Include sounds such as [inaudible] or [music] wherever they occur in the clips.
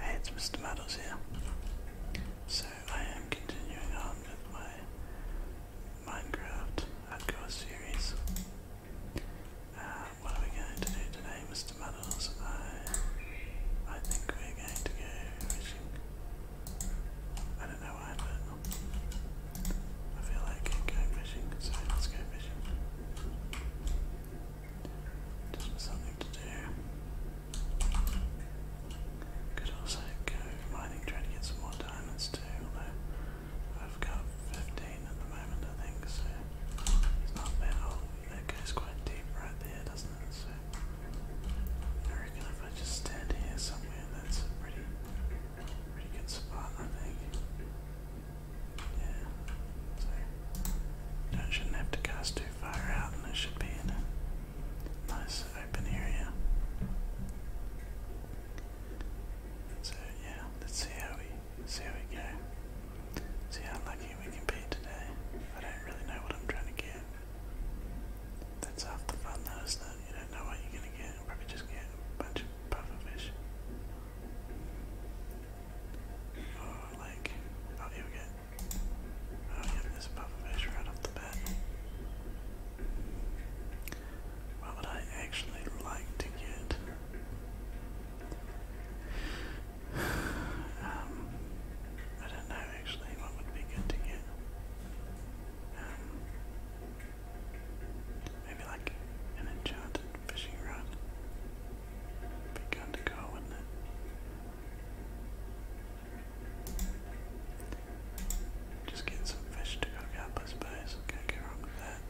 Hey, it's Mr. Muddles here. So I am continuing on with my Minecraft hardcore series. Uh, what are we going to do today, Mr. Muddles? I I think we're going to go fishing. I don't know why, but I feel like going fishing, so let's go fishing. Just something to do. Could also go mining, try to get some more diamonds too, although I've got 15 at the moment, I think, it's not bad. Oh, that goes quite deep right there, doesn't it? So I reckon if I just stand here somewhere, that's a pretty, pretty good spot, I think. Yeah, you shouldn't have to cast too far out and it should be in a nice open area. So yeah, let's see how we see how we go. See how lucky we can be today. I don't really know what I'm trying to get. That's half the fun though, isn't it? You don't know what you're gonna get, probably just get a bunch of pufferfish. Or like oh here we go, what would I actually like to get? Um, I don't know actually what would be good to get. Um, maybe like an enchanted fishing rod. Be kind of cool, wouldn't it? Just get some fish to cook up, I suppose. Can't go wrong with that.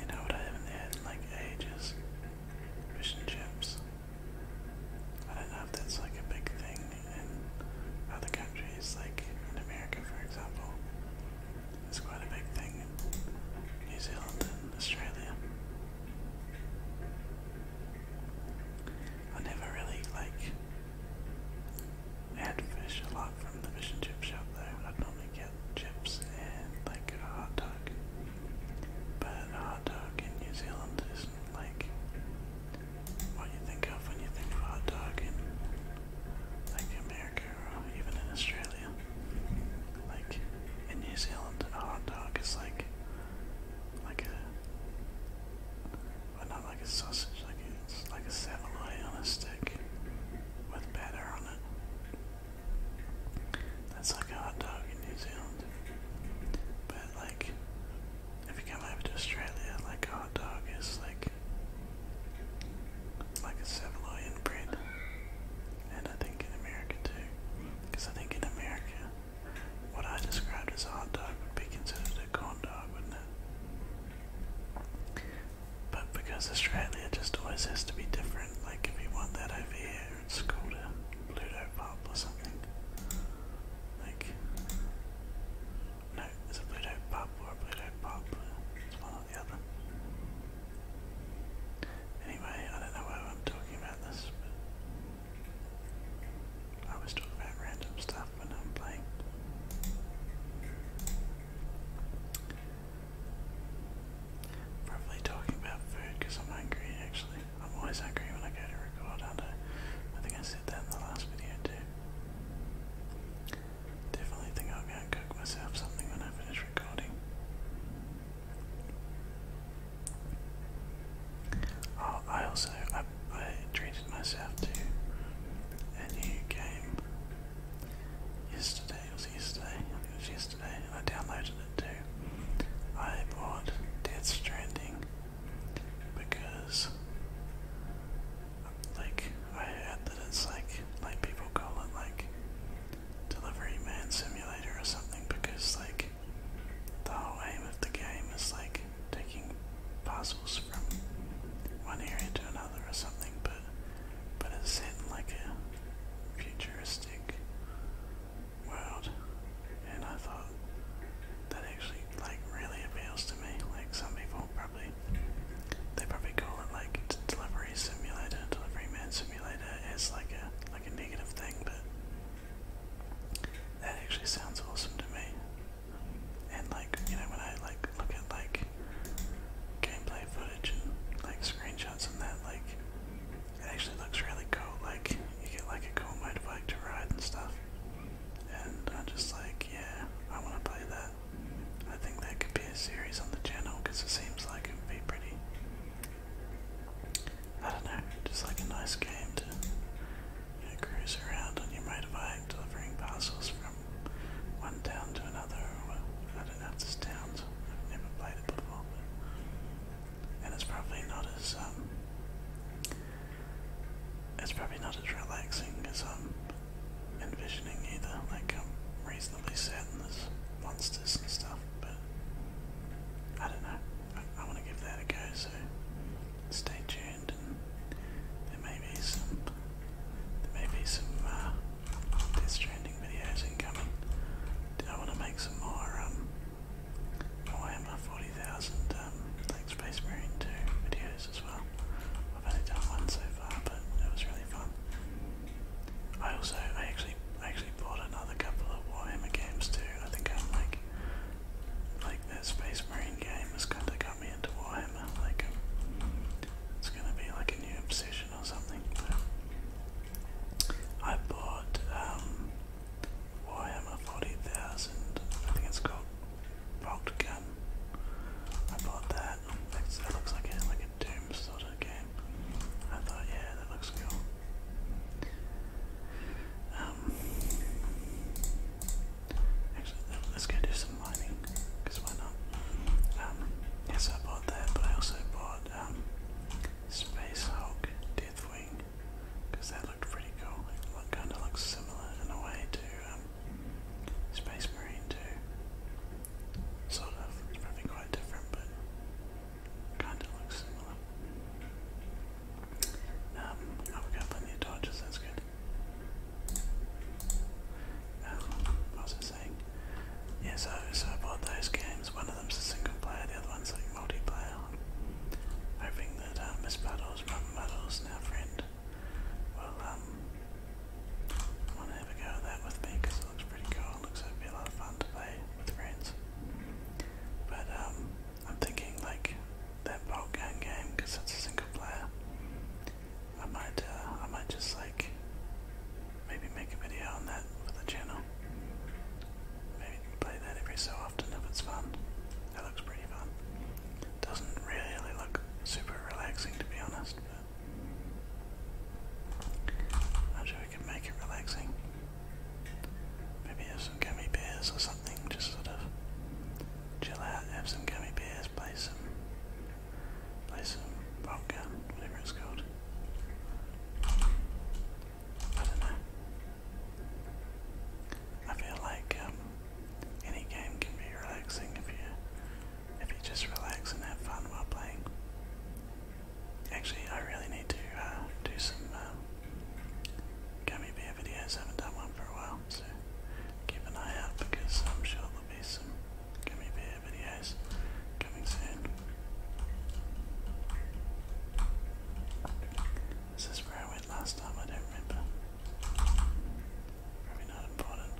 You know what I haven't had in like ages? Fish and chips. I don't know if that's like a big thing in other countries, like in America, for example. It's quite a big thing in New Zealand and Australia. I never really like had fish a lot from the fish and chip shop though. I'd normally get chips and like a hot dog. But a hot dog in New Zealand is is like what you think of when you think of hot dog in America or um, even in Australia. Like in New Zealand a hot dog is like like a well not like a sausage, like it's like a saveloy on a stick with batter on it. That's like a hot dog in New Zealand. But like if you come over to Australia, like a hot dog is like like a Savoy bread, and I think in America too, because I think in America, what I described as a hot dog would be considered a corn dog, wouldn't it? But because Australia just always has to be different, like if you want that over here, it's called a Pluto pop or something. Like, no, it's a Pluto pub or a Pluto pub. It's one or the other. Anyway, I don't know why I'm talking about this, I was talking about random stuff when I'm playing. Probably talking about food because I'm hungry actually. I'm always hungry when I go to record, I think I said that in the last video too. Definitely think I'll go and cook myself something when I finish recording. Oh, I also I, treated myself to a new game yesterday. It was yesterday. I it was yesterday. I downloaded it too. I bought Death Stranding because like I heard that it's like like people call it like delivery man simulator or something because like the whole aim of the game is like taking parcels from one area to another or something but but it's set in like a futuristic world and I thought that actually like really appeals to me. Like some people probably they probably call it like delivery simulator, delivery man simulator as like a like a negative thing, but that actually sounds awesome to me. And like, you know, when I like look at like gameplay footage and like screenshots and that, like it actually looks really cool, like you get like a cool motorbike to ride and stuff and I'm just like, yeah, I want to play that. I think that could be a series on the channel because it seems like it would be pretty. I don't know, just like a nice game to cruise around on your motorbike, delivering parcels from one town to another. I don't know if this town's, I've never played it before. and it's probably not as um, it's probably not as relaxing as I'm envisioning either. Like I'm reasonably certain there's monsters and stuff, but I don't know. I, I want to give that a go, so stay tuned. And there may be some, there may be some uh, Death Stranding videos incoming. I want to make some more. Um, Oh, I am a 40,000 um, like Space Marine 2 videos as well. I've only done one so far, but it was really fun. I also, I actually, I actually bought another couple of Warhammer games too. I think I'm like, like that Space Marine game has kind of got me into Warhammer. Like, um, it's gonna be like a new obsession or something. But I bought um, Warhammer Forty Thousand. I think it's called rocked gun. I bought that. It's, looks like like a Doom sort of game. I thought, yeah, that looks cool. Um, actually, let's go do some mining, because why not? Um, yes, I bought that, but I also bought um, Space Hulk Deathwing, because that looked pretty cool. kind of looks similar in a way to um, Space Marine too. Sort of. It's probably quite different, but kind of looks similar. Um, oh, we got plenty of dodges, that's good. Um, what was I saying? Yeah, so, so I bought those games. One of them's a single player, the other one's like multiplayer. Hoping that uh, Miss Battles, Mum Battles, and friend well, I um, want have a go at that with me because it looks pretty cool. It looks like it'd be a lot of fun to play with friends. But um, I'm thinking like that bolt gun game because it's a single player. I might, uh, I might just like maybe make a video on that for the channel. Maybe play that every so often if it's fun. That looks pretty fun. Doesn't really look super relaxing to be honest, I'm sure we can make it relaxing. Maybe have some gummy bears or something, just sort of chill out, have some gummy bears, play some play some rock whatever it's called. I don't know. I feel like um, any game can be relaxing if you if you just relax and have fun while playing. Actually, I really need to uh, do some uh, gummy bear videos. haven't done one for a while, so keep an eye out because I'm sure there'll be some gummy bear videos coming soon. Is where I went last time? I don't remember. Maybe not important.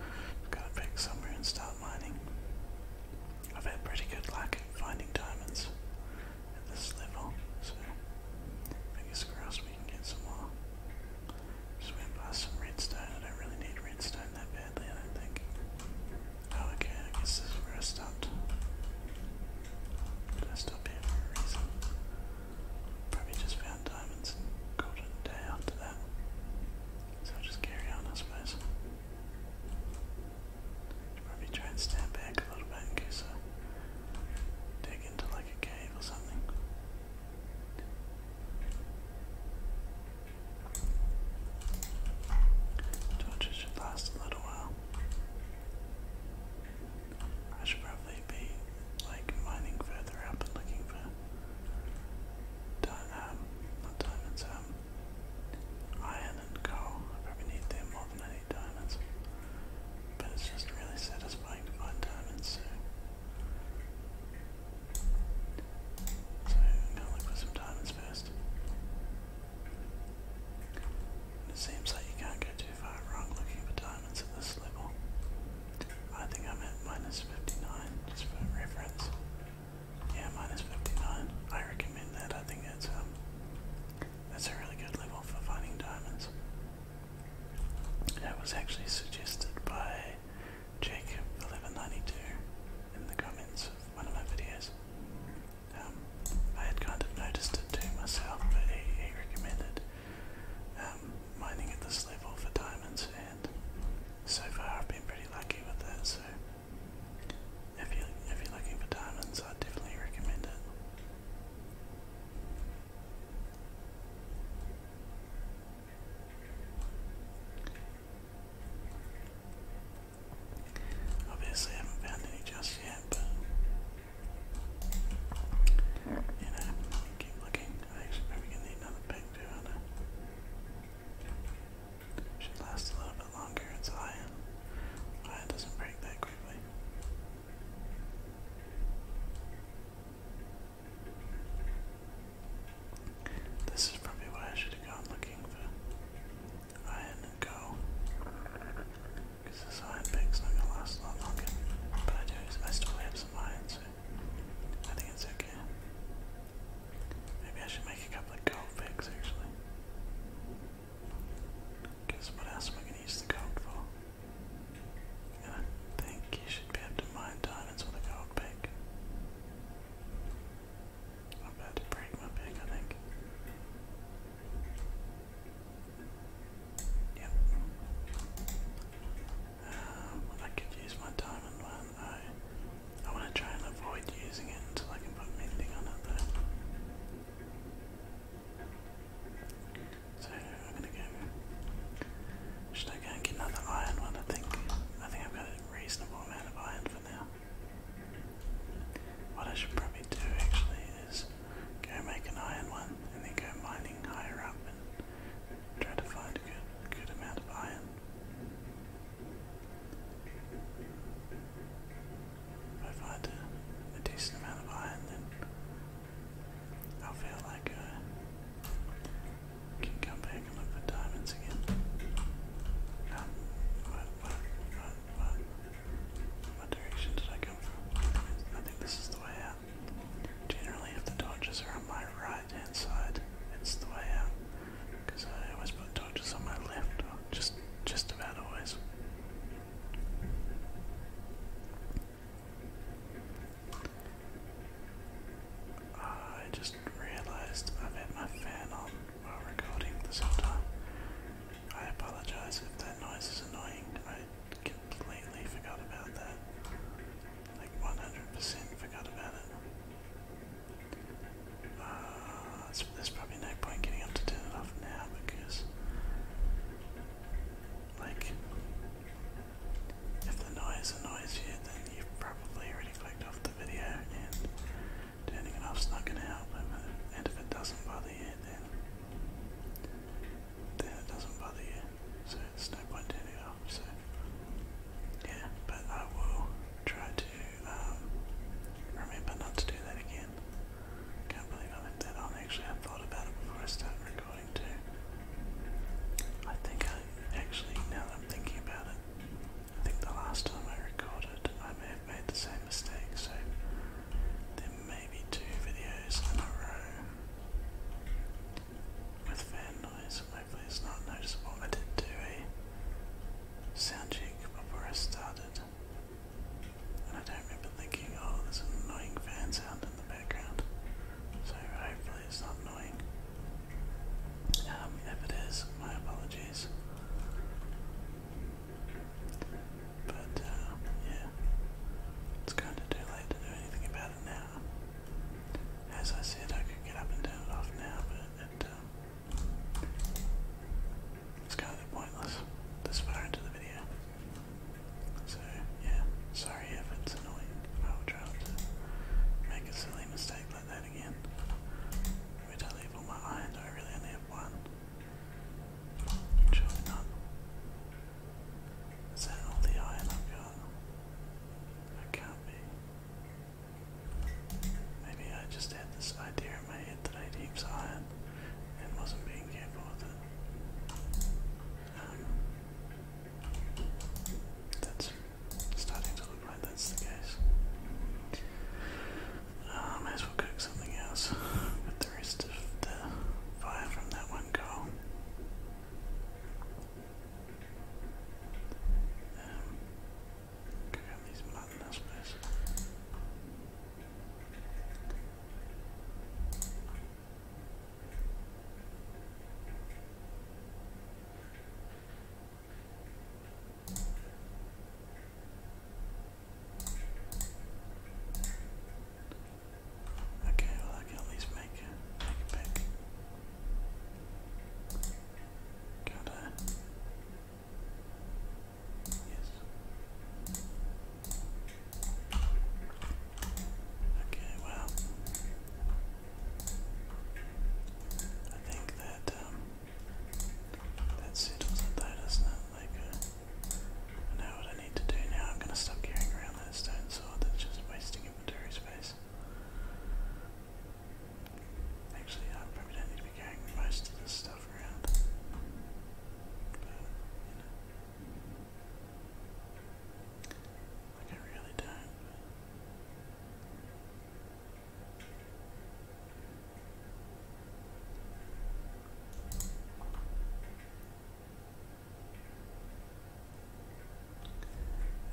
I've got to pick somewhere and start mining. I've had pretty good luck finding diamonds at this level, so fingers crossed we can get some more. Just went past some redstone. I don't really need redstone that badly, I think. Oh, okay, I guess this is stopped. But I for a reason. Probably just found diamonds and called it a day after that. So just carry on, I suppose. Probably try and stand back a little bit in case I dig into like a cave or something. should last a little while. I should probably be like mining further up and looking for um, not diamonds, um, iron and coal. I probably need them more than I need diamonds. But it's just really satisfying to find diamonds, so. So i look for some diamonds first. It seems like you can't go too too far wrong looking for diamonds at this level. I think I'm at minus 59, just for reference. Yeah, minus 59. I recommend that. I think that's, um, that's a really good level for finding diamonds. That was actually suggested by Jacob1192 in the comments of one of my videos. Um, I had kind of noticed it to myself, but he, he recommended um, mining at this level for diamonds, and so far I've been pretty lucky with that. So if you if you're looking for diamonds, I definitely recommend it. Obviously, I haven't found any just yet, but you know, keep looking. I oh, actually probably need another ping too, Should last a little bit longer, it's iron. Iron doesn't break that quickly. This is probably why I should have gone looking for iron and Because this iron pig's not gonna last a lot longer. But I do I still have some iron, I think it's okay. Maybe I should make a couple of gold picks actually. Because what else am I use the gold for? I think you should be able to mine diamonds with a gold pick. I'm about to break my pick, I think. Yep. Um, I could use my diamond one. I I want to try and avoid using it until I can put mending on it So I'm gonna go. Should I go and get another iron one? I think I think I've got a reasonable amount of iron for now. What I should probably do actually is go make an iron one and then go mining higher up Try to find a good, good amount of iron. If I find a, decent amount of iron, then I'll feel like I can come back and look for diamonds again. what, what, what, what, what direction did I come I think this is the way out. Generally, if the Dodgers are on my right hand side, it's the way out. Because I always put Dodgers on my left, just, just about always. I just realised I've had my fan on while recording this time. I apologise if that noise is annoying completely forgot about that. Like 100% forgot about it. Uh, there's probably no point getting up to turn it off now because, like, if the noise annoys you, then you've probably already clicked off the video, and turning it off's not going to help. And if it doesn't bother you, then then it doesn't bother you. So there's no point in it off, so yeah, but I will try to um, remember not to do that again. Can't believe I left that on. Actually, I thought about it before I started recording too. I think I actually, now that I'm thinking about it, I think the last time I recorded, I may have made the same mistake. So there may be two videos in a row with fan noise, hopefully it's not noticeable. I did do a sound check before I started, and I don't remember thinking, oh, there's an annoying fan sound in the background, so hopefully it's not annoying. Um, if it is, my apologies. But, uh, yeah, it's kind of too late to do anything about it now. As I said, I could get up and turn it off now, but um, it's kind of pointless this far into the video. So, yeah, sorry if it's annoying. I will try to make a silly mistake like that again. Where do I leave all my iron? I really only have one? Surely not. Is that all the iron I've got? That can't be. Maybe I just had this idea in my head that I had heaps iron and wasn't being careful with it. Um, that's starting to look like that's the case. Uh, as well cook something else with the fire from that one coal. Um, go around these mountains, I suppose. Okay, well I can at least make a, make a pick. Yes. Okay, well, I think that um, that settles it though, not Like, uh, what I need to do now. I'm going to stop carrying around that stone sword that's just wasting inventory space. Actually, I probably don't need to be carrying most of this stuff around. Like, I really don't.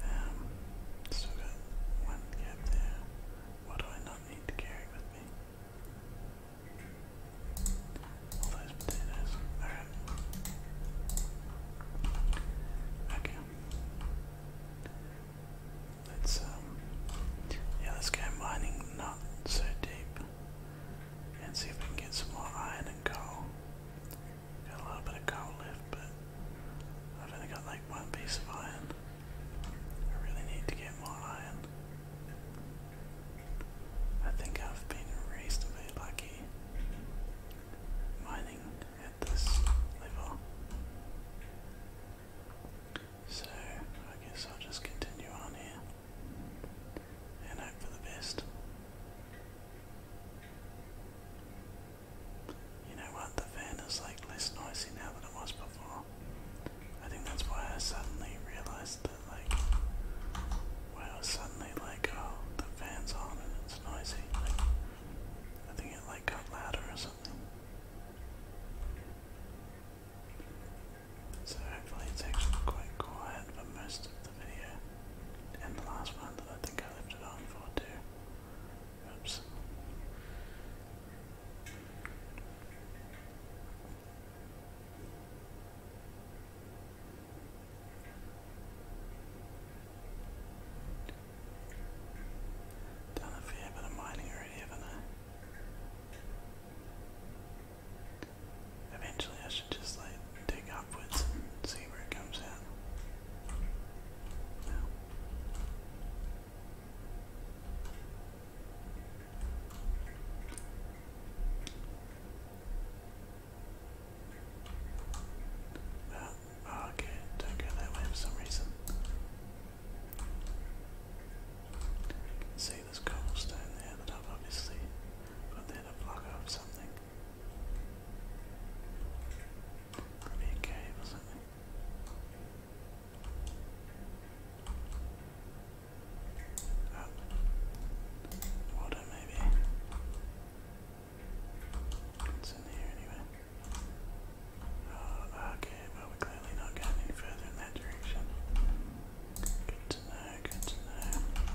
Um, still got one cap there. What do I not need to carry with me? All those potatoes. Alright. Okay. Let's, um, yeah, let's go mining not so deep and see if we can get some more iron and coal. Got a little bit of coal left, but I've only got like one piece of iron. I really need to get more iron. I think I've been reasonably lucky mining at this level. So I guess I'll just continue on here and hope for the best. You know what, the fan is like less noisy now than it was before. I think that's why I suddenly realized that like, well suddenly like, oh, the fan's on and it's noisy. I think it like got louder or something. So hopefully it's actually quite quiet for most the video and the last one that I think I left it on for too. Oops. Done a fair bit of mining already, haven't I? Eventually I should just like dig upwards and see where it comes out. Oh, okay, don't go that way for some reason. see this cobblestone there that I've obviously put there to block off something. Probably a Water maybe. What's in here anyway? Oh, okay, well we're clearly not going any further in that direction. Good to know, good to know.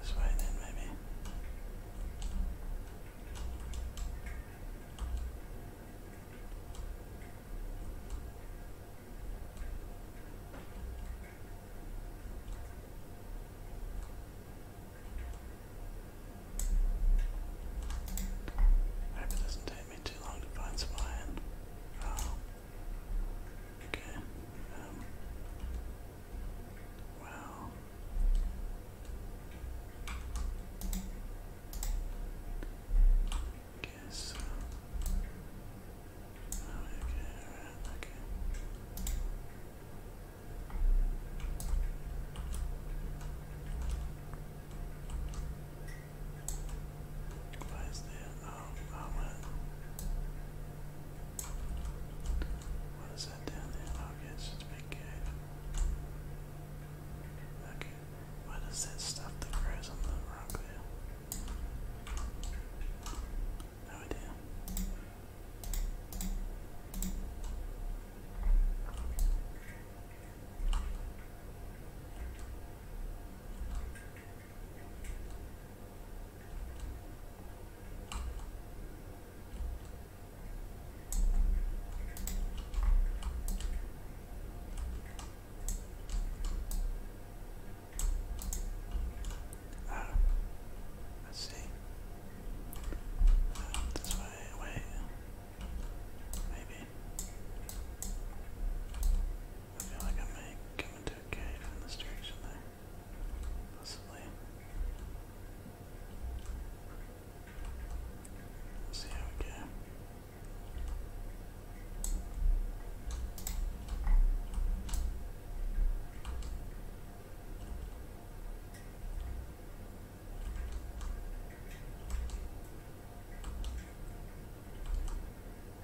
This way then, maybe. I hope it doesn't take me too long to find some iron. Oh. Okay. Um, wow. Uh, oh, okay, okay, alright, okay. Why is that? Oh, oh what? What is that down there? Oh, okay, it's a big cave. Okay, what is that stuff that grows on the rock there? No idea. Ah, uh, let's see. Uh, this wait. Maybe. I feel like I may come into a cave in this direction there. Possibly. see how we go.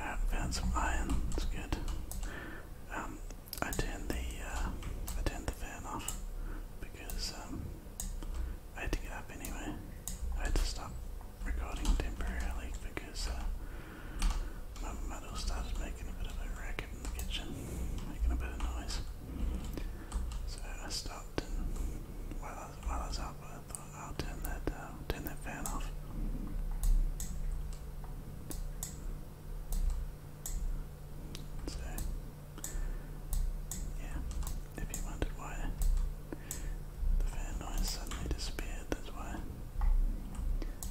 Uh, some iron. That's good. Um, I turned the uh, I turned the fan off because um, I had to get up anyway. I had to stop recording temporarily because uh, my muddle started making a bit of a racket in the kitchen, making a bit of noise. So I stopped while I was, while I was out, I will turn that, uh, turn that fan off. So, yeah, if you wondered why the fan noise suddenly disappeared, that's why.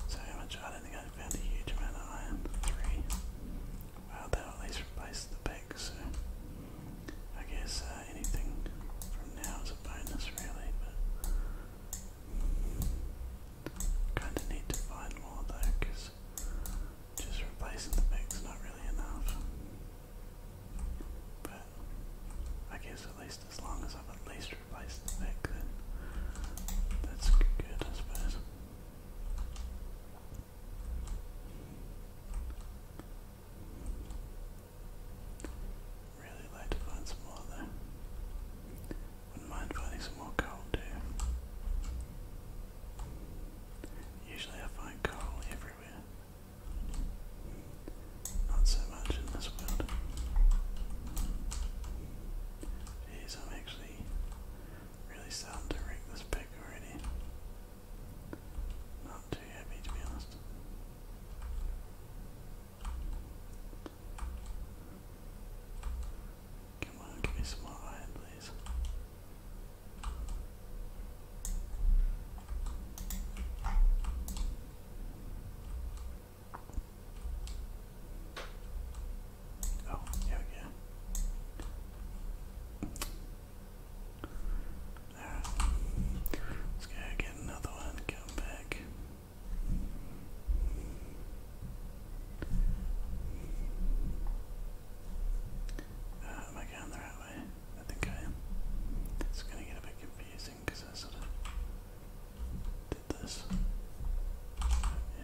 So how much I don't think I found a huge amount of iron. Three. Well, they at least replace the back, so I guess uh, anything from now is a bonus, really, but kind of need to find more though, because just replacing the back's not really enough. But I guess at least as long as I've at least replaced the back, then that's good, I suppose. Really like to find some more there. Wouldn't mind finding some more coal too. Usually I find coal everywhere. Not so much in this world. Jeez, I'm actually really starting to wreck this pick already. Not too heavy to be honest. Come on, give me some more please. Oh, here we Alright. Let's go get another one, come back. Uh, am I going the right way? I think I am. It's going to get a bit confusing because I sort of did this. yeah.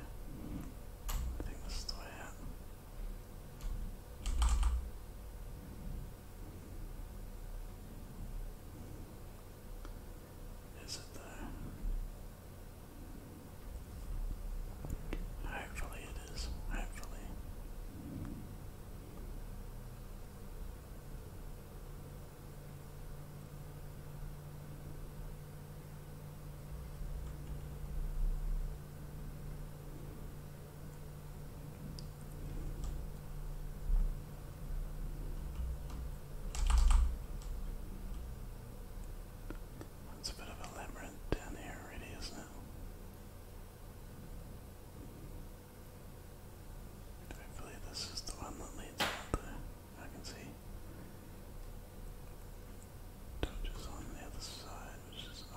I think this is the way is it there? Hopefully it is. Hopefully. That's a bit of a labyrinth down here already, is Hopefully this is the one that leads out there. I can see torches on the other side that, which I'm confused.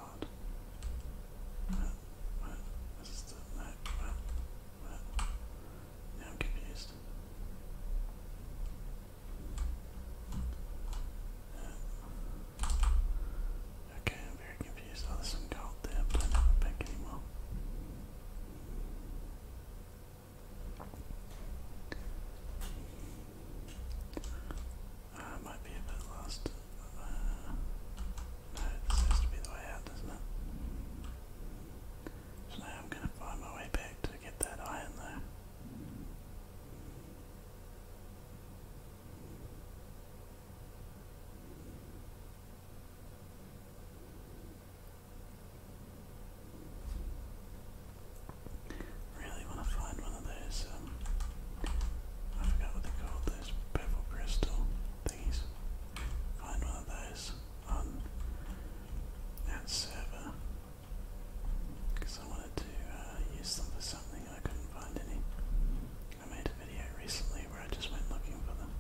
Okay, I'm very confused. Oh, this one called the planet back anymore. Uh, I might be a bit lost. Uh, no, this has to be the way out, doesn't it? So now I'm going to find my way back to get that iron there. Really want to find one of those uh, um, I forgot what they're called, those purple crystal thingies. Find one of those on that server because I wanted to uh, use them for something I couldn't find any. I made a video recently where I just went looking for them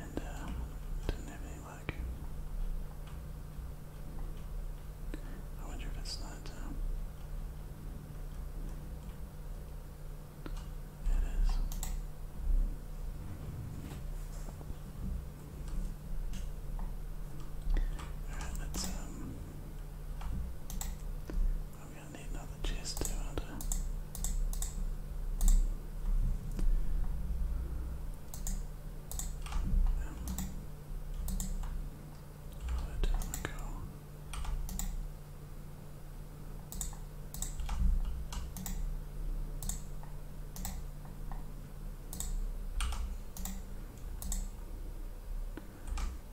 and uh, didn't have any luck. I wonder if it's not. Um, it is. Alright, let's um, I'm gonna need another chest too, uh, Oh, that doesn't to go.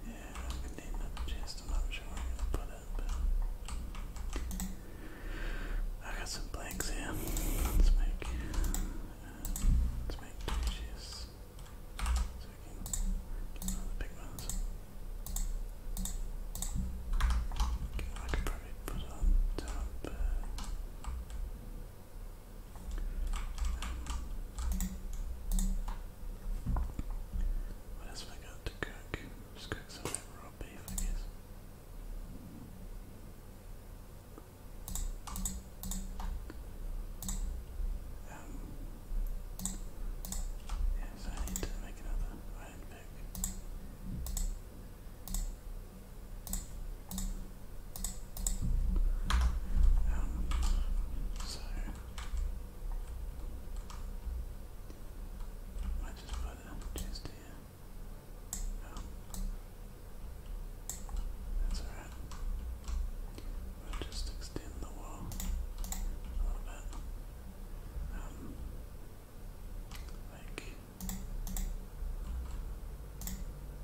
I that chest. I'm not sure where I'm gonna put it, but I got some blanks here. Let's make, uh, let's make so I can probably put on top. what else have got to cook? Just cook some raw beef, I guess. Um, yeah, I need to make another iron pick. so I just put a chest here. Um, that's alright. We'll just extend the wall a little bit. Um, like,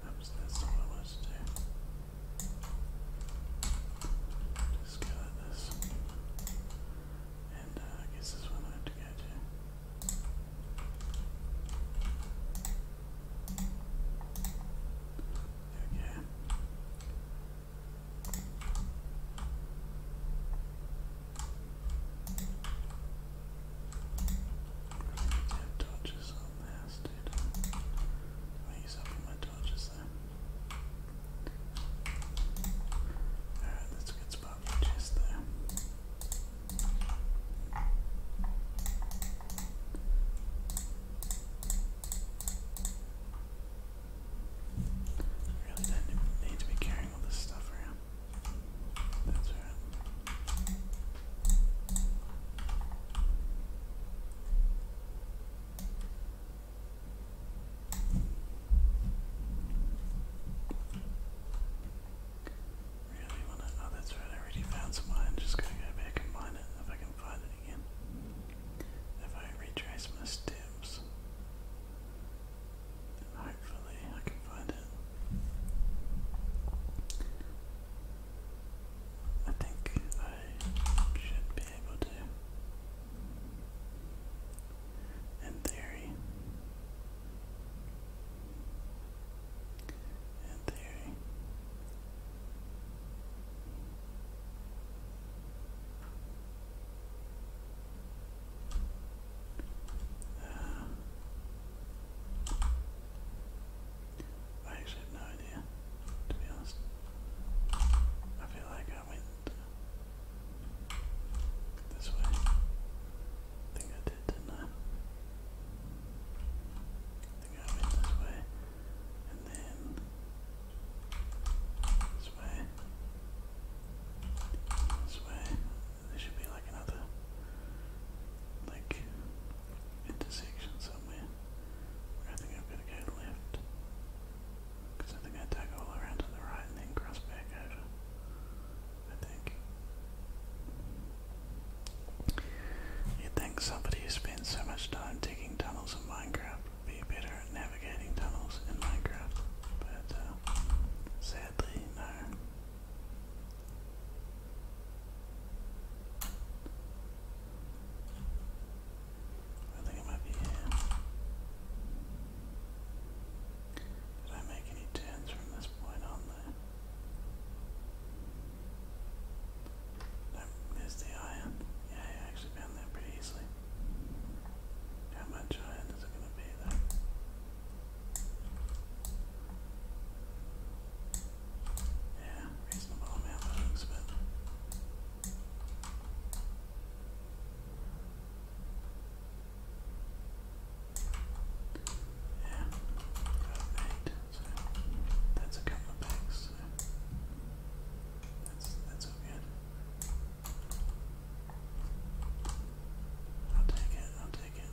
oops, that's not I wanted to Just go this. And uh, I guess this one I have to go to. There Really need to have torches on this, use up all my torches there. Alright, that's a good spot for the chest there. I really don't need to be carrying all this stuff around. That's right. Really wanna oh that's right, I already found some mine, just going to go back and mine it if I can find it again. If I retrace my steps, hopefully I can find it. I think I should be able to. In theory, in theory, uh, I actually have no idea, to be honest. I feel like I went this way. think I did, didn't I? They go in this way, and then this way, this way. There should be like another like intersection somewhere. I think I've got to go left, I think I dug all around to the right and then cross back over. I think. you think somebody who spends so much time digging tunnels in Minecraft be better at navigating tunnels in Minecraft, but uh, sadly, no. I think it might be here. Did I make any turns from this point on there? Nope, there's the iron. Yeah, you actually found that pretty easily. How much iron is it going to be though? Yeah, reasonable amount of it. Yeah, eight, so that's a couple of bags, that's that's okay. I'll take it. I'll take it.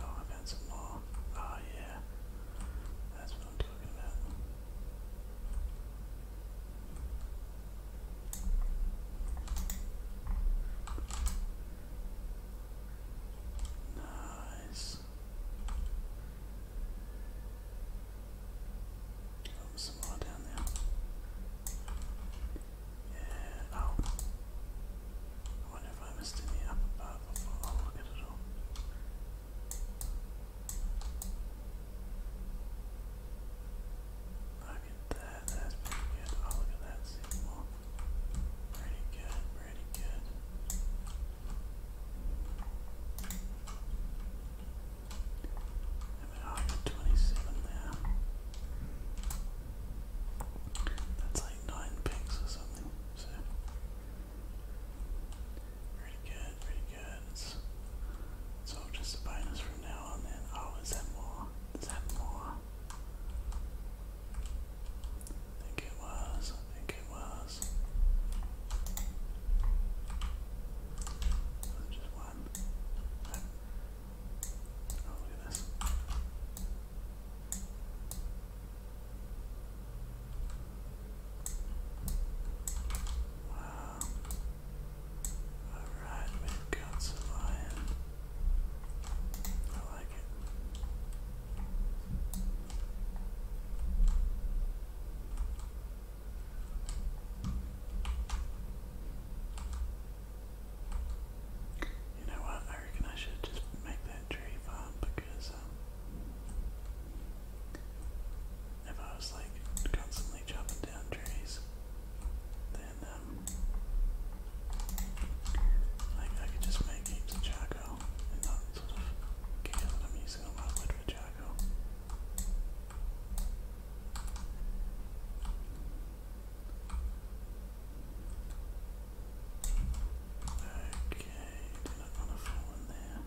Oh, I've had some more. Oh yeah, that's what I'm talking about. Nice. Oh, some more down there. Yeah, oh. wonder if I missed any up above before. Oh, look at it all. Look at that, that's pretty good. Oh, look at that signal. Pretty good, pretty good. I mean, oh, 27 there. That's like 9 pings or something, Pretty good, pretty good. It's, all just a bonus from now on then. Oh, is that more? Is that more? I think it was, I think it was. Was just one? Oh, look at this. Um, Alright, we've got some iron. I like it. You know what? I reckon I should just make that tree farm because um, if I was like constantly chopping down trees, then um, like I could just make heaps of charcoal and not sort of care that I'm using all wood for charcoal. Okay, do not want to fall in there.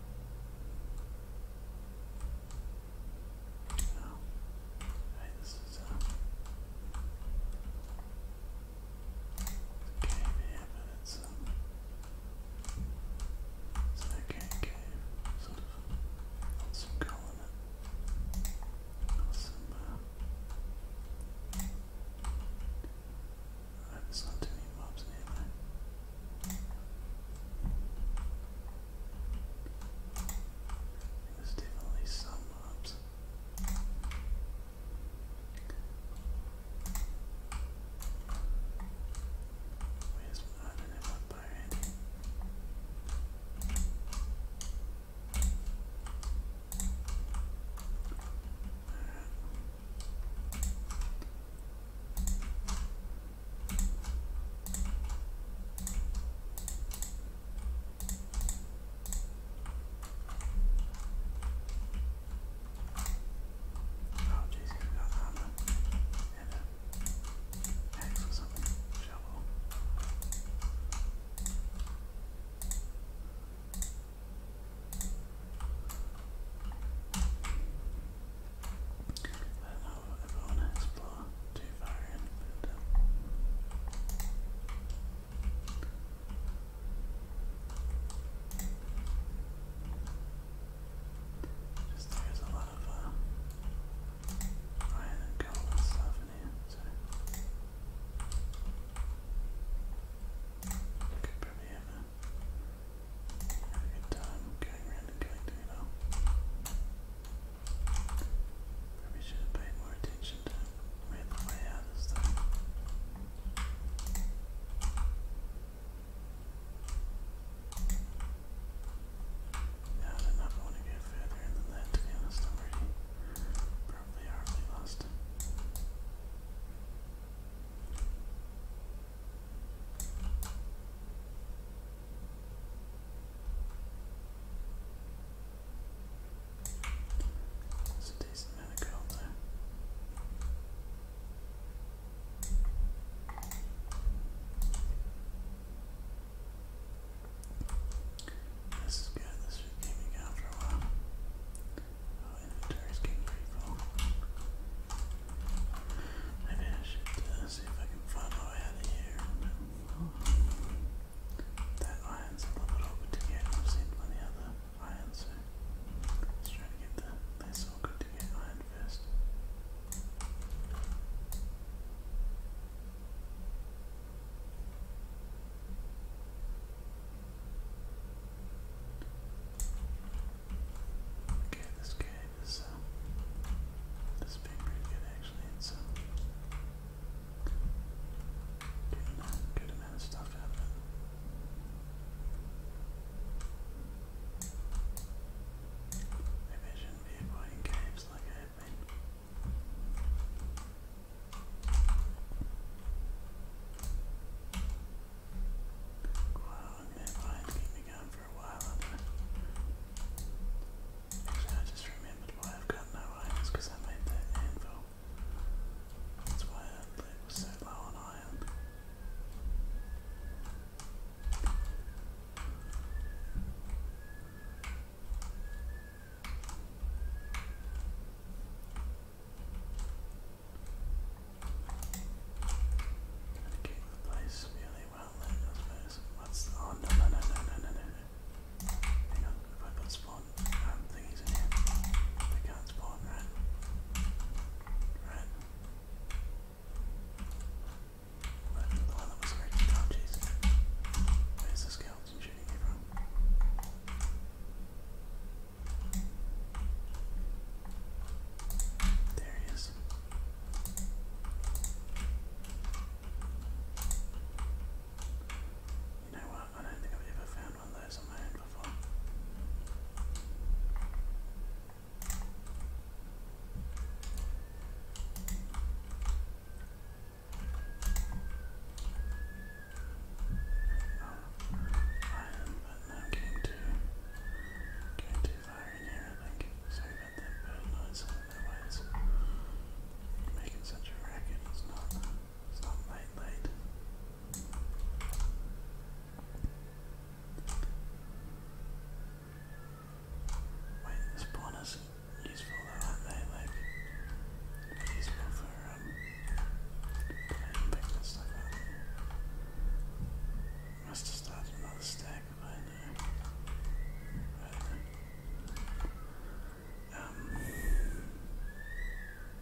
No. Alright, this is a cave but it's it's an okay cave, sort of some coal in it. some I hope there's too many mobs in here, though. definitely some mobs. Where's my, I my bow Oh, jeez, he's got armor uh, and an axe or something. Shovel. I don't know if I want to explore too far in, just there's a lot of uh, iron and gold and stuff in here, so Having a good time killing random character, you know. should have paid more attention to where the way out is I did not want to get further than that to be honest, I'm already probably already lost. That's a decent amount of gold there. This is good, this should keep me going for a while. Oh, inventory's Maybe I should see if I can find my way out of here. That iron's a little bit to get. I've seen plenty of other iron, so let's try to get the less awkward to get iron first. Okay, this game is uh, this being pretty good actually. It's uh, good amount of stuff out Maybe shouldn't be avoiding caves like I have been. Wow, I meant I hadn't been gone for a while, had I? just remembered why I've got no irons, because I made that anvil. That's why it was so low on iron. Dedicate the place really well What's the, oh no no no no no no no no. Hang on, if I put spawn in here, they can't spawn, right? Right. the one that was already oh jeez. Where's the skeleton shooting from? There he is. You know what? I don't think I've ever found one of those on my own before. Oh, I am but I'm getting too, getting too far in here, I think. Sorry about that bird noise, that way making such a racket, it's not, it's not late, late. Wait, the spawners useful though, aren't useful for, um, playing stuff, must have started another stack by now. Um,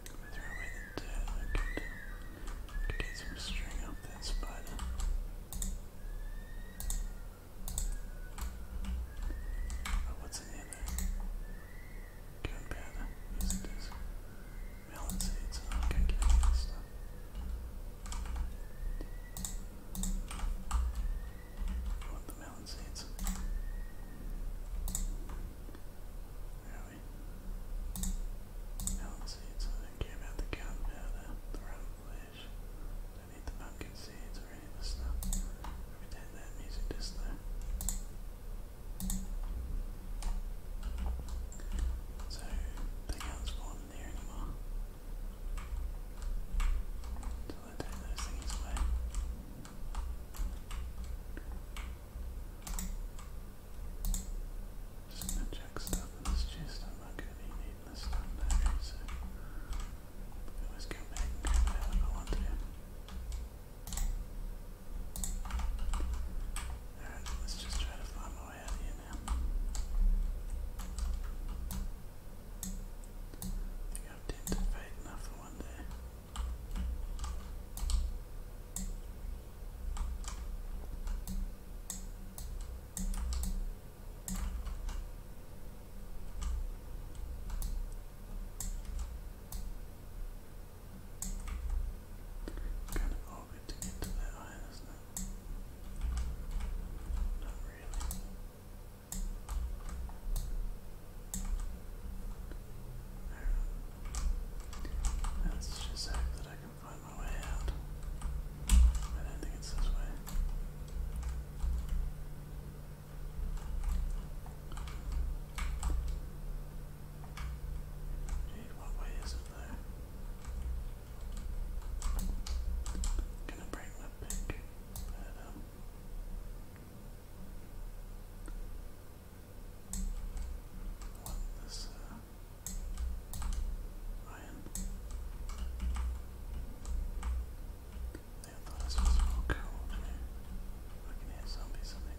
throw away the dirt. I could, get some string up that spider. Oh, what's in here? Gunpowder. Yes, it is melon seeds. I can't get any of stuff. I want the melon seeds. Where Melon seeds. I don't care about the gunpowder, the rotten Don't need the pumpkin seeds or any of this stuff. Pretend that music just though. So they can't spawn there anymore. Until I take those things away. Just gonna stuff in this not gonna be this stuff so I can go back and grab it out if I Alright, let's just try to find my way out I think I've dented fate enough for one day it to get to that eye, just hope that I can find my way out. I don't think it's this way. Dude, what way is it there? gonna break my pick, but this uh iron. thought this was all cold, I can hear zombies, I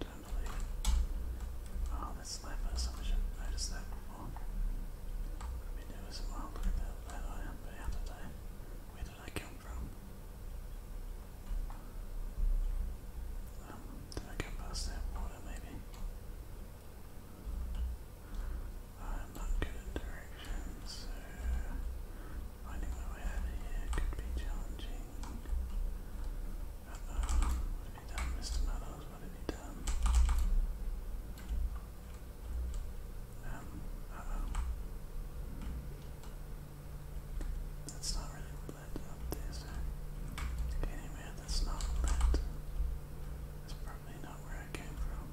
Don't believe it. Oh, that's lab so I should have noticed that before. been doing some wild work that, that I am Where did I come from? did I go past that water maybe? I'm not good at directions, so finding my way over here could be challenging. what have you done, Mr. Muddles? What have you done? Um, oh. That's not really lit up there, so. Anywhere that's not lit, that's probably not where I came from.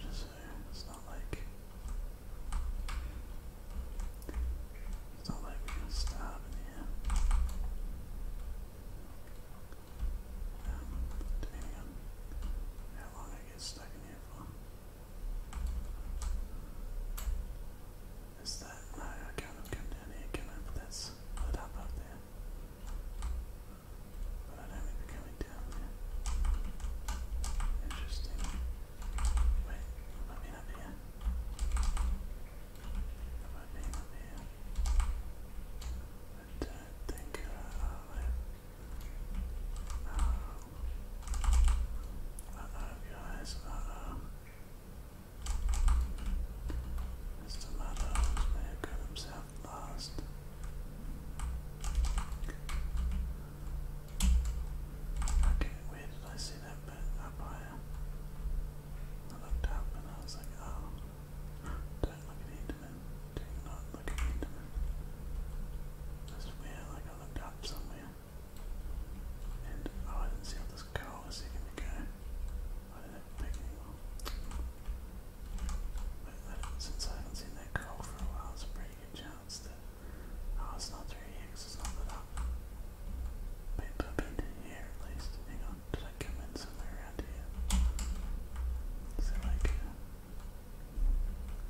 it's not like it's not like we're gonna starve in here. Um, depending how long I get stuck in here for. Is that I can't come down here, can I? But up up there. But I don't think they're coming down there. Interesting. Wait, have I up here? Have I been up here? I don't think uh, I have. Oh. Uh guys. Uh oh. Mr. Muddles may have himself last. where did I see that bit up higher? I looked up and I was like, oh, don't look at Enderman. Do not look at Enderman. That's weird, like I looked up somewhere. And, oh, I didn't see this coal a second ago. I didn't have since I haven't seen that goal for a while, it's a pretty good chance that. Oh, it's not 3x, it's not up. Wait, but i here at least. Hang on, did I come in somewhere around here? Is there like a.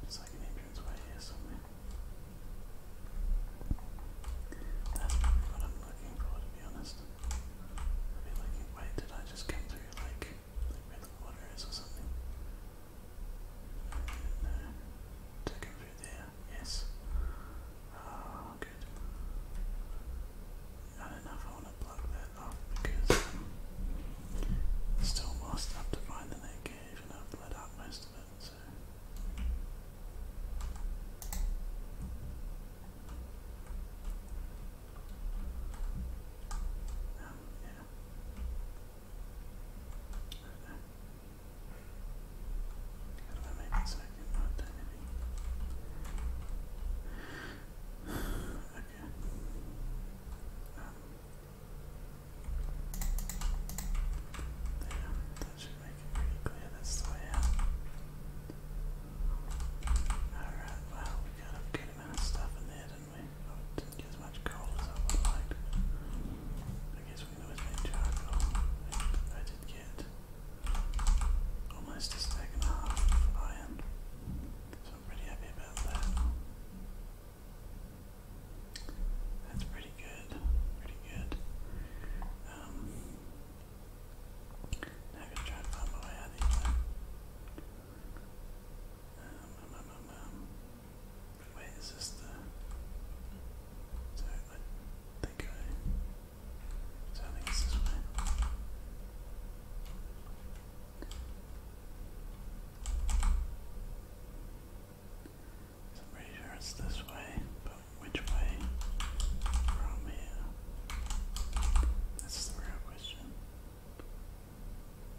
It's like an entrance way here somewhere. That's probably what I'm looking for, to be honest. I'll looking. Wait, did I just come through like where the water is or something? Does it through there? Yes. Oh, good. I don't know if I want to plug that off because um, it's still more stuff to find in that cave and I've lit up most of it, um, yeah. Okay. that should make it pretty clear that's the way out. Alright, well, we got a good amount of stuff in there anyway. I didn't get as much gold as I would like. I guess we can always make charcoal. I did get almost a stack and a half of iron. So I'm pretty happy about that. That's pretty good. Pretty good. Um, now I'm gonna try and find my way out of here wait, is this the? So I think I. I think it's this way. So pretty sure it's this way, but which way from here? That's the real question.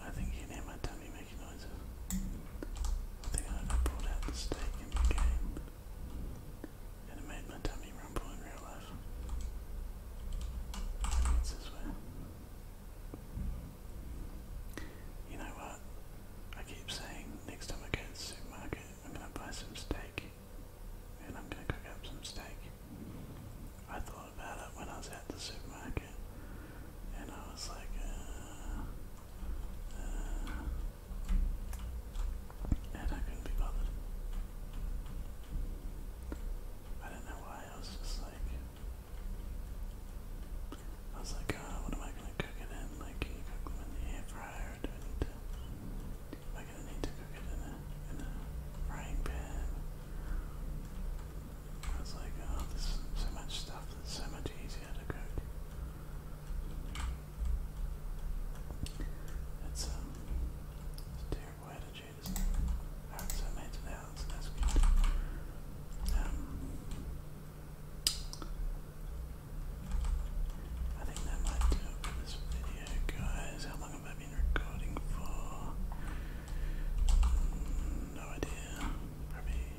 I think you can hear my tummy making noises. I think I ever brought out the steak in the game. And it made my tummy rumble in real life. Maybe it's this way. You know what? I keep saying next time I go to the supermarket, I'm gonna buy some steak and I'm gonna cook up some steak. I thought about it when I was at the supermarket, and I was like, uh, uh, and I couldn't be bothered. I don't know why, I was just like, I was like, oh, what am I gonna cook it in? Like, in the air fryer or do I need to? gonna need to cook it in a, frying pan. I was like, oh, there's so much stuff that's so much easier to cook. It's, um, it's a terrible attitude, isn't it? Alright, so I made it out, so that's good. Um, I think that might do this video, guys have I been recording for? Mm, no idea. Probably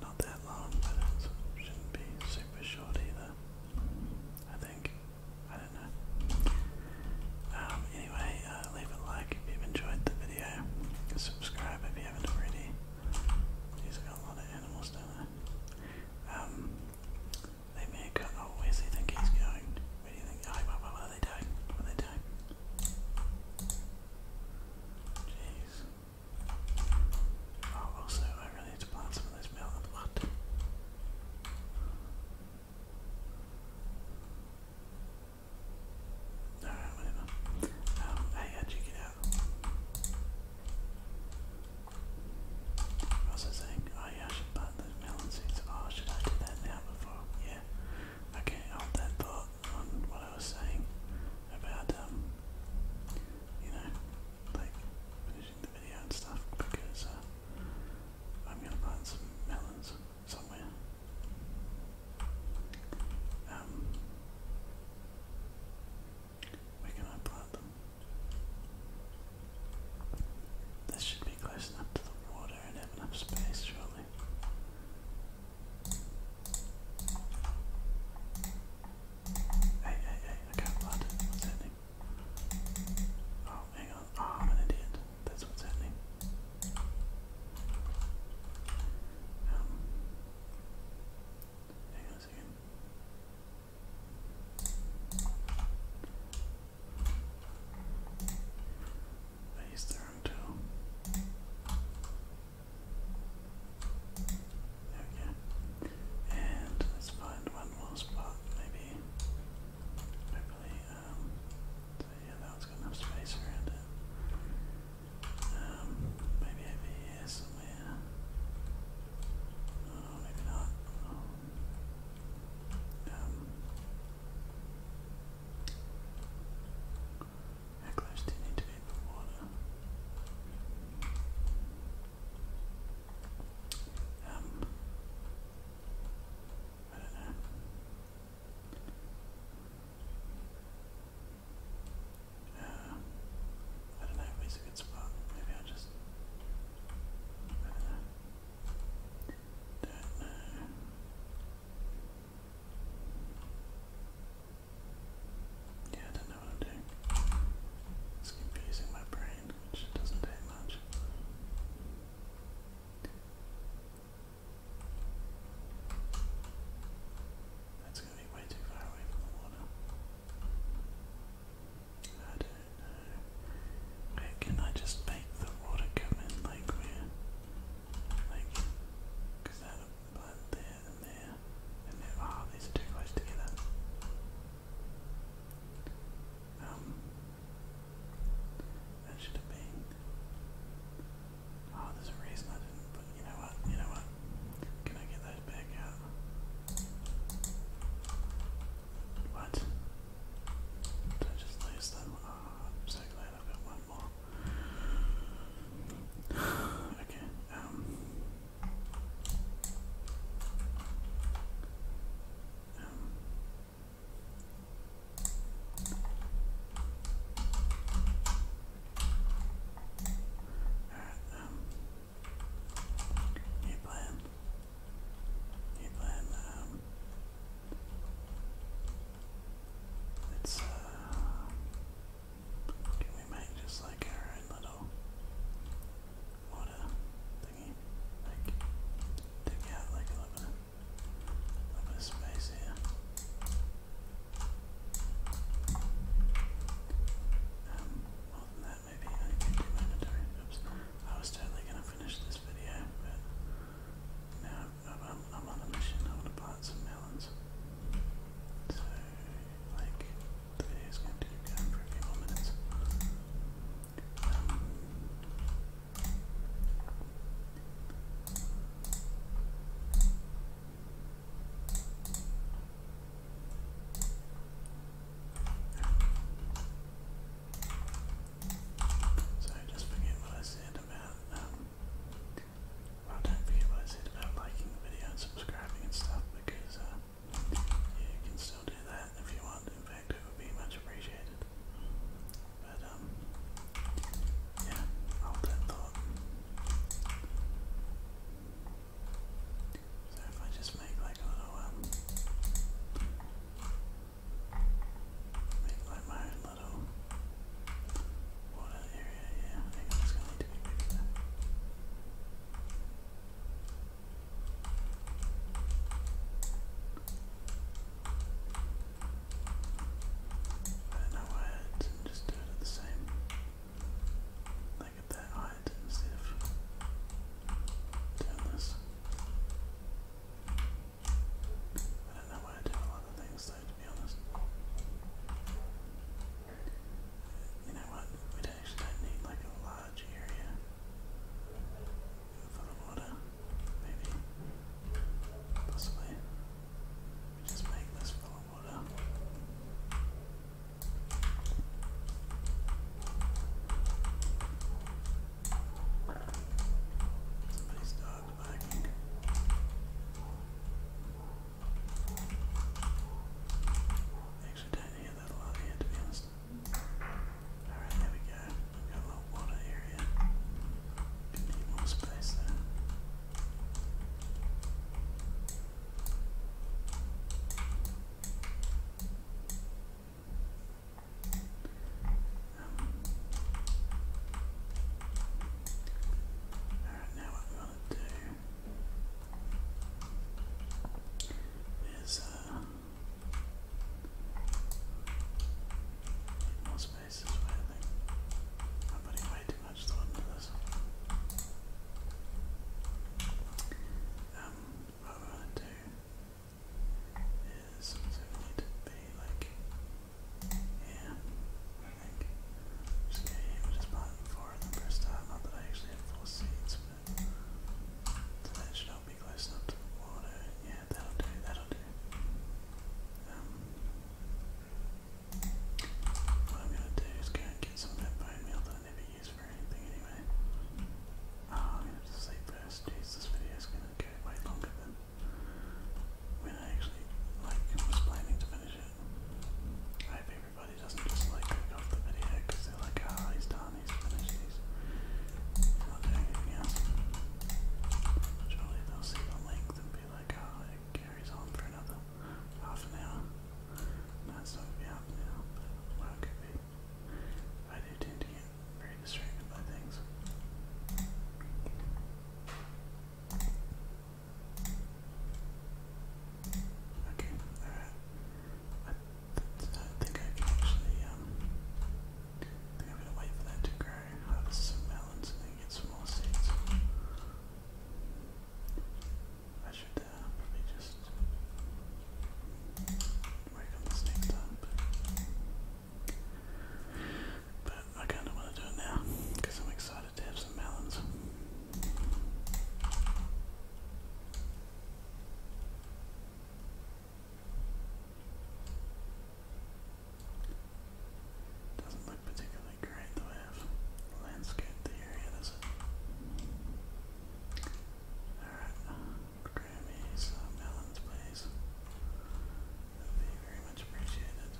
not that long, but it shouldn't be super short either. I think. I don't know. Um, anyway, uh, leave a like if you've enjoyed the video. Subscribe if you haven't already. He's got a lot of animals down there. Um, they may have got. Oh, where's he think he's going? Where do you think? Oh, what, are they doing? What are they doing? Jeez. Oh, also, I really need to plant some of those melon blood. Alright, whatever. Um, hey, how'd you out? What was I saying? Oh, Oh I should plant those melon seeds. Oh, should I do that now before? Yeah. Okay, hold that thought on what I was saying about, um, you know, like finishing the video and stuff because uh, I'm gonna plant some melons somewhere. Um, where can I plant them? This should close enough to the water and have enough space, surely. Hey, hey, hey, I can't blood. What's happening? Oh, hang on. Oh, I'm an idiot. That's what's happening. Um, hang on a second. He's there too. Okay. And let's find one more spot, maybe. Hopefully, um, yeah, that has got enough space around it. Um, maybe over here somewhere. Oh, maybe not. Um, how close do you need to be to the water? Um, I don't know. Uh, I don't know if it's a good spot. Maybe I'll just. I don't know. Don't know. Yeah, I don't know what I'm doing. It's confusing my brain, which doesn't take much. That's going to be way too far away from the water. I don't where can I just make the water come in like where? Like, because that like there and there and there. Ah, these are too close together. Um, that should have been. Oh, there's a reason I didn't. But you know what? You know what? Can I get those back out? What? Did I just lose them? Oh, so glad I've got one more. [sighs] okay, um. Um. Alright, um. New plan. um. It's, uh, we make just like our own little water thingy? Like, dig out like a little little space here. Um, more than that, maybe I can do mandatory. Oops, I was totally gonna finish this video, now I'm, on a mission. I want to plant some melons. So, like, the video's going to keep going for a few more minutes. Um, so just forget what I said about, um, don't forget what I said about liking the video and subscribing and stuff because uh, you can still do that if you want, in fact it would be much appreciated. But um, yeah, hold thought. So if I just make like a um, Make like my own little water area here. I think i gonna need to be bigger. I don't know why I didn't just do it at the same like at that height instead of doing this. I don't know why I do a lot things though, to be honest. You know what? We don't actually need like a large area for the water. Maybe. Possibly. just make this full of water. Somebody's dog actually don't hear that a lot here, to be honest. Alright, there we go. We've got a little water area. We need more space there. Um, Alright, now what we want to do is uh, more space I am putting way too much thought into this. Um, what we want to is going to be like here, I think. Just get here, which is four and then press start. Not that I actually have four seeds, but that should help me close enough to the water. Yeah, that'll do, that'll do. Um, what I'm gonna do is going to get some of that meal that I never used for anything anyway. Oh, I'm gonna have to sleep first. Jeez, this video is gonna get way longer than I mean, I actually like planning to finish it. I hope everybody doesn't just like click off the video because they're like, ah, he's done, he's finished, he's not doing anything else. Surely they'll see the length and be like, ah, it carries on for another half an hour. No, not going to be but it could be. I do tend to get very distracted by things. Okay, alright. I, think I can actually, um, I think wait for that to grow, harvest some melons, and then get some more seeds. I should uh, probably just work on this next but I kind of want to do it now because I'm excited to have some melons. Doesn't look particularly great the way I've the area, does it? Alright. Grammys, melons, uh, please. would be very much appreciated.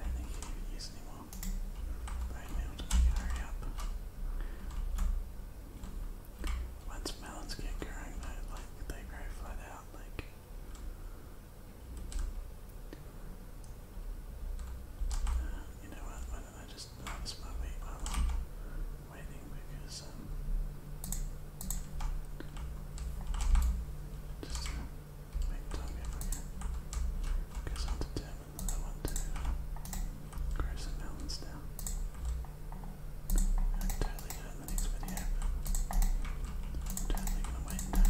I think you use any more. But hurry up. Once melons get growing like they grow out, like uh, you know what, I just harvest my wheat while waiting because um just to make time if because I'm determined I want to uh, grow some melons down. I am totally gonna wait and now.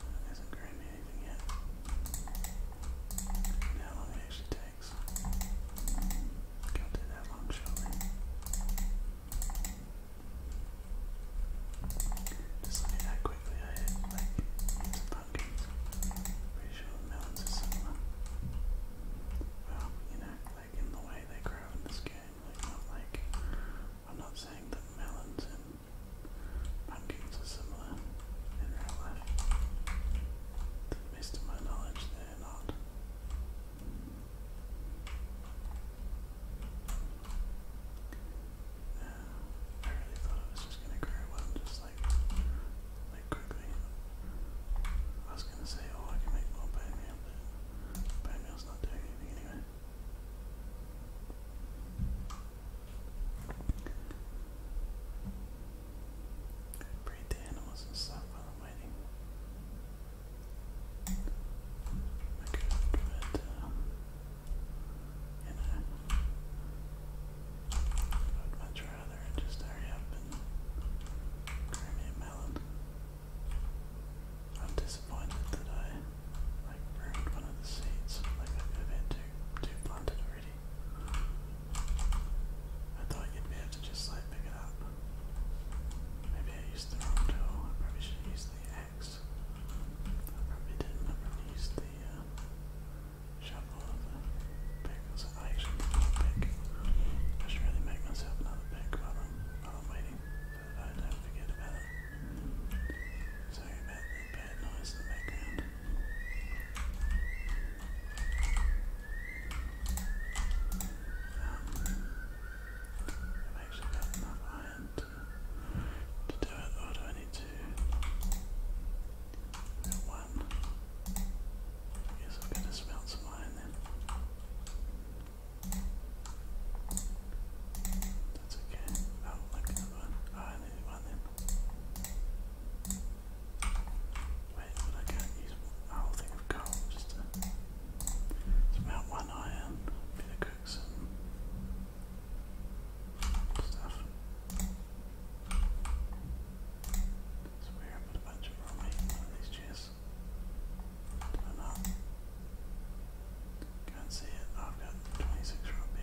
That hasn't grown anything yet. how long it actually takes. Can't do that long, surely. Just look at how quickly I hit, like, into pumpkins. Pretty sure melons are similar. Well, you know, like in the way they grow in this game. Like I'm not saying that melons and pumpkins are similar in real life. To the best of my knowledge, they're not. I really thought it was just gonna grow one, just like like quickly. I was gonna say, oh, I can make more bone but bone not doing Breed the animals and stuff while I'm waiting. I could, but, you know, I would much rather just hurry up and grab me a melon. I'm disappointed that I like ruined one of the seats. Like I have been too too blunted already. I thought you'd be able to just like pick it up. Maybe I used the wrong tool. I probably should have the axe. I probably didn't. I probably the uh, shovel the pick. So I actually pick. I should really make myself another pick while I'm, while I'm waiting. I do Sorry about the bad noise in the background. Um, i actually got enough iron to, do it, or do I need to? one. I I've got to smelt some iron then. That's okay. Oh, like the other one. I need one then. Wait, would I go use a whole thing of coal just to. It's one iron. I'm gonna stuff. So we put a bunch of raw these chests this. do Can't see it. I've got 26 round there.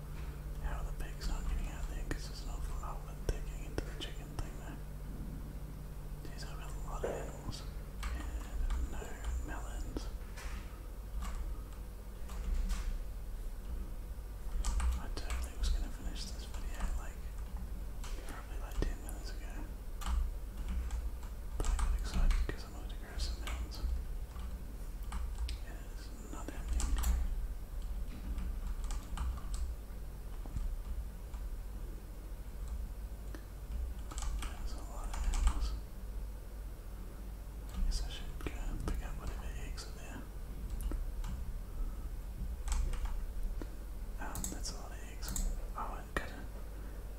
How the pig's not getting out there because there's not full outlet digging into the chicken thing there. Jeez, I've got a lot of animals. And no melons. I totally was gonna finish this video like probably like 10 minutes ago. But I got excited because I wanted to grow some melons. It is not that There's a lot of animals. I guess I should go pick up whatever eggs are there. Um, that's a lot of eggs. Oh, I gotta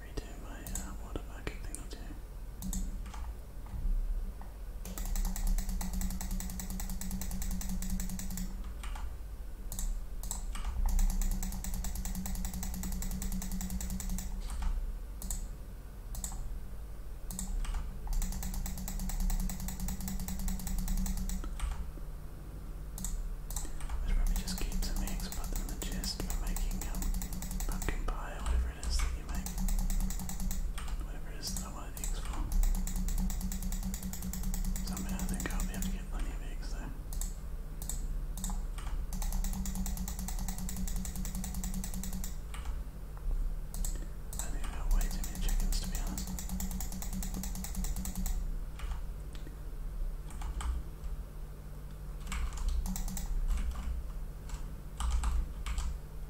redo my water market thing there's probably just keeps some eggs, put them in the chest for making um, pumpkin pie whatever it is that you make. Whatever it is that I that eggs So I think I'll be able to get plenty of eggs there. I think I've got way too many chickens to be honest.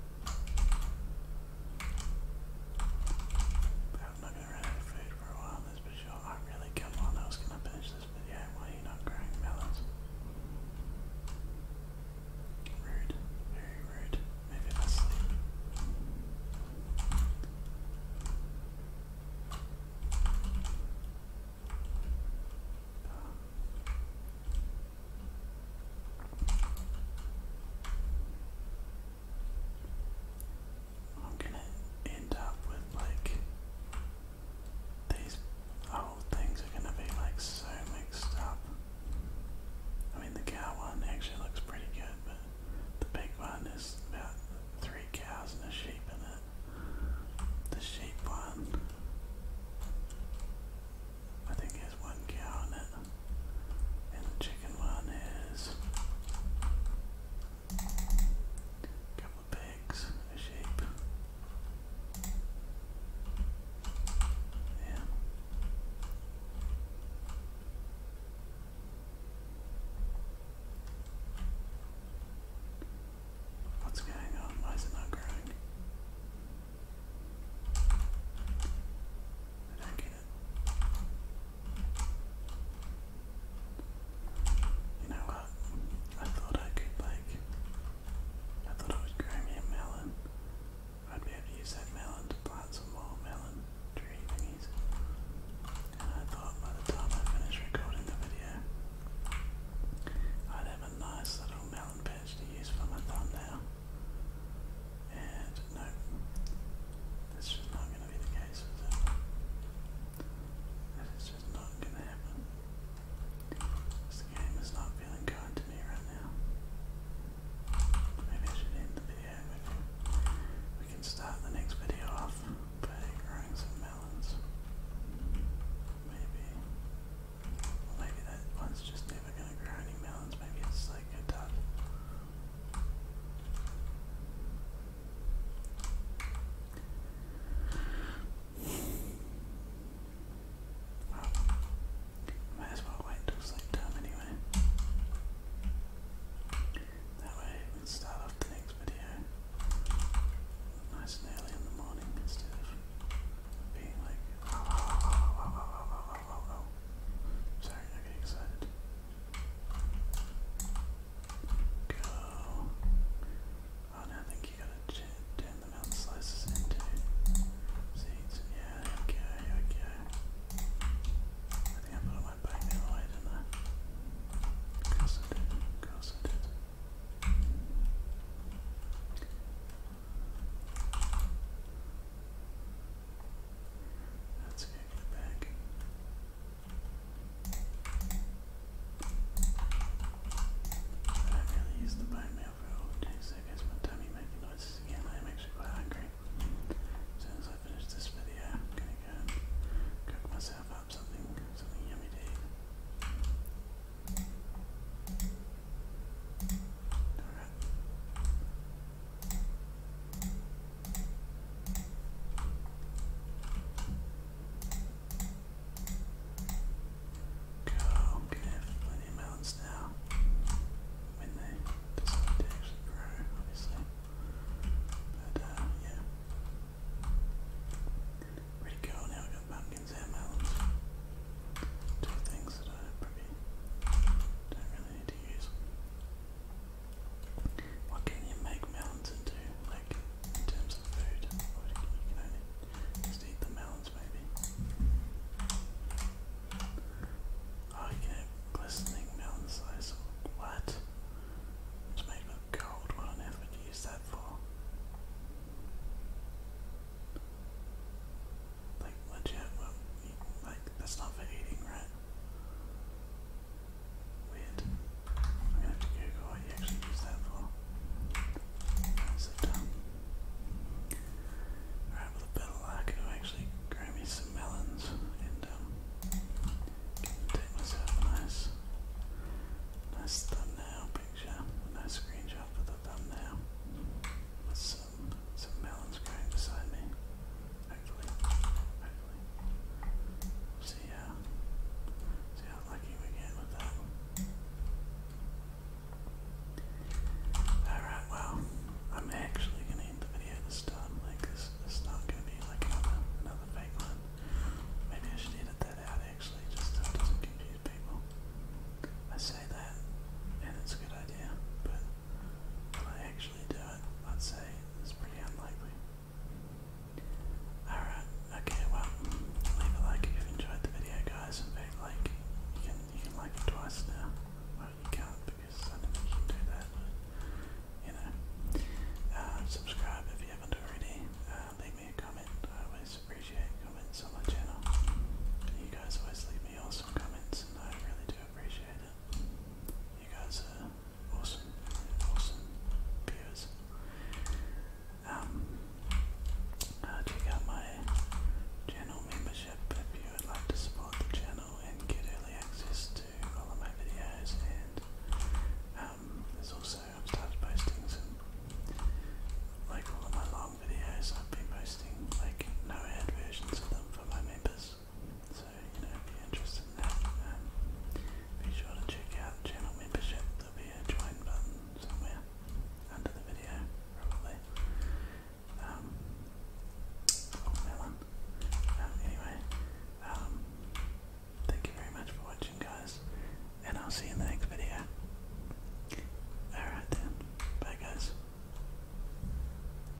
I'm not gonna run out of food for a while, that's for sure. I really come on, I was gonna finish this video. Why are you not growing melons? Rude, very rude. Maybe if I sleep. Oh. I'm gonna end up with like these whole things are gonna be like so mixed up. I mean the cow one actually looks pretty good, but the big one is about three cows and a sheep in it. The sheep one I think has one cow in it. And the chicken one is a couple of pigs, a sheep. Yeah. What's going on? Why is it not growing? You know what? I thought I could like I thought I was grow a melon. I'd be able to use that melon to plant some more melon trees. And I thought by the time I finish recording the video I'd have a nice little melon patch to use for my thumbnail. And no, that's just not going to be the case, is just not going to happen. This game is not feeling kind to me right now. Maybe I should end the video. we can start the next video off by growing some melons. Maybe. maybe that one's just never going to grow any melons. Maybe it's like a tough well, might as well wait until sleep time anyway. That way we can start off the next video nice and early in the morning instead of being like, Sorry, I get excited. Go. Oh, no, I think you gotta ch the mountain slices into seeds. Yeah, okay, okay. I think I put on my back the other way, not I? Of course I did, that's going get back. I gotta the bone meal for all it takes. I guess my tummy making noises again. I am actually quite hungry. As soon as I finish this video, I'm gonna go cook myself up something, something yummy Go, i plenty of melons now. When they decide to actually grow, obviously. But uh, yeah. Pretty cool now I've got pumpkins and melons. Two things that I probably don't really need to use. What can you make melons into, like in terms of food? you can only just eat the melons, maybe. Oh, you can have glistening melon What? It's made with gold. What on earth would use that for? Like, legit, like, that's not for eating, right? Weird. I'm gonna have to Google what you actually use that for. so dumb. Alright, with a bit of luck, I'll actually grow me some melons and, um, take myself nice, nice thumbnail picture, nice screenshot for the thumbnail some melons growing beside me. Hopefully. See how uh, see how lucky we get with that. Alright, well, I'm actually gonna end the video this time. Like this it's not gonna be like another fake one. Maybe I should edit that out actually, just so confuse people. I say that and it's a good idea, but I actually actually do it. i say it's pretty unlikely. Alright, okay, well, leave a like if you enjoyed the video, guys. In fact, like, you can, you can like it twice now. Well, you can't because I don't think you can do that, you know. Um, subscribe if you haven't already. Uh, leave me a comment. I always appreciate comments on my channel. You guys always leave me awesome comments, and I really do appreciate it. You guys are awesome, awesome viewers. Um, uh, check out my channel membership if you would like to support the channel and get early access to all of my videos. And um, there's also I've started posting some like all of my long videos. I've been posting like no ad versions of them for my members. So, you know, if you're interested in that, um, be sure to check out channel membership. There'll be a join button somewhere under the video, probably. Um, oh, melon. Um, anyway, um, thank you very much for watching, guys, and I'll see you in the next video. Alright then, bye guys.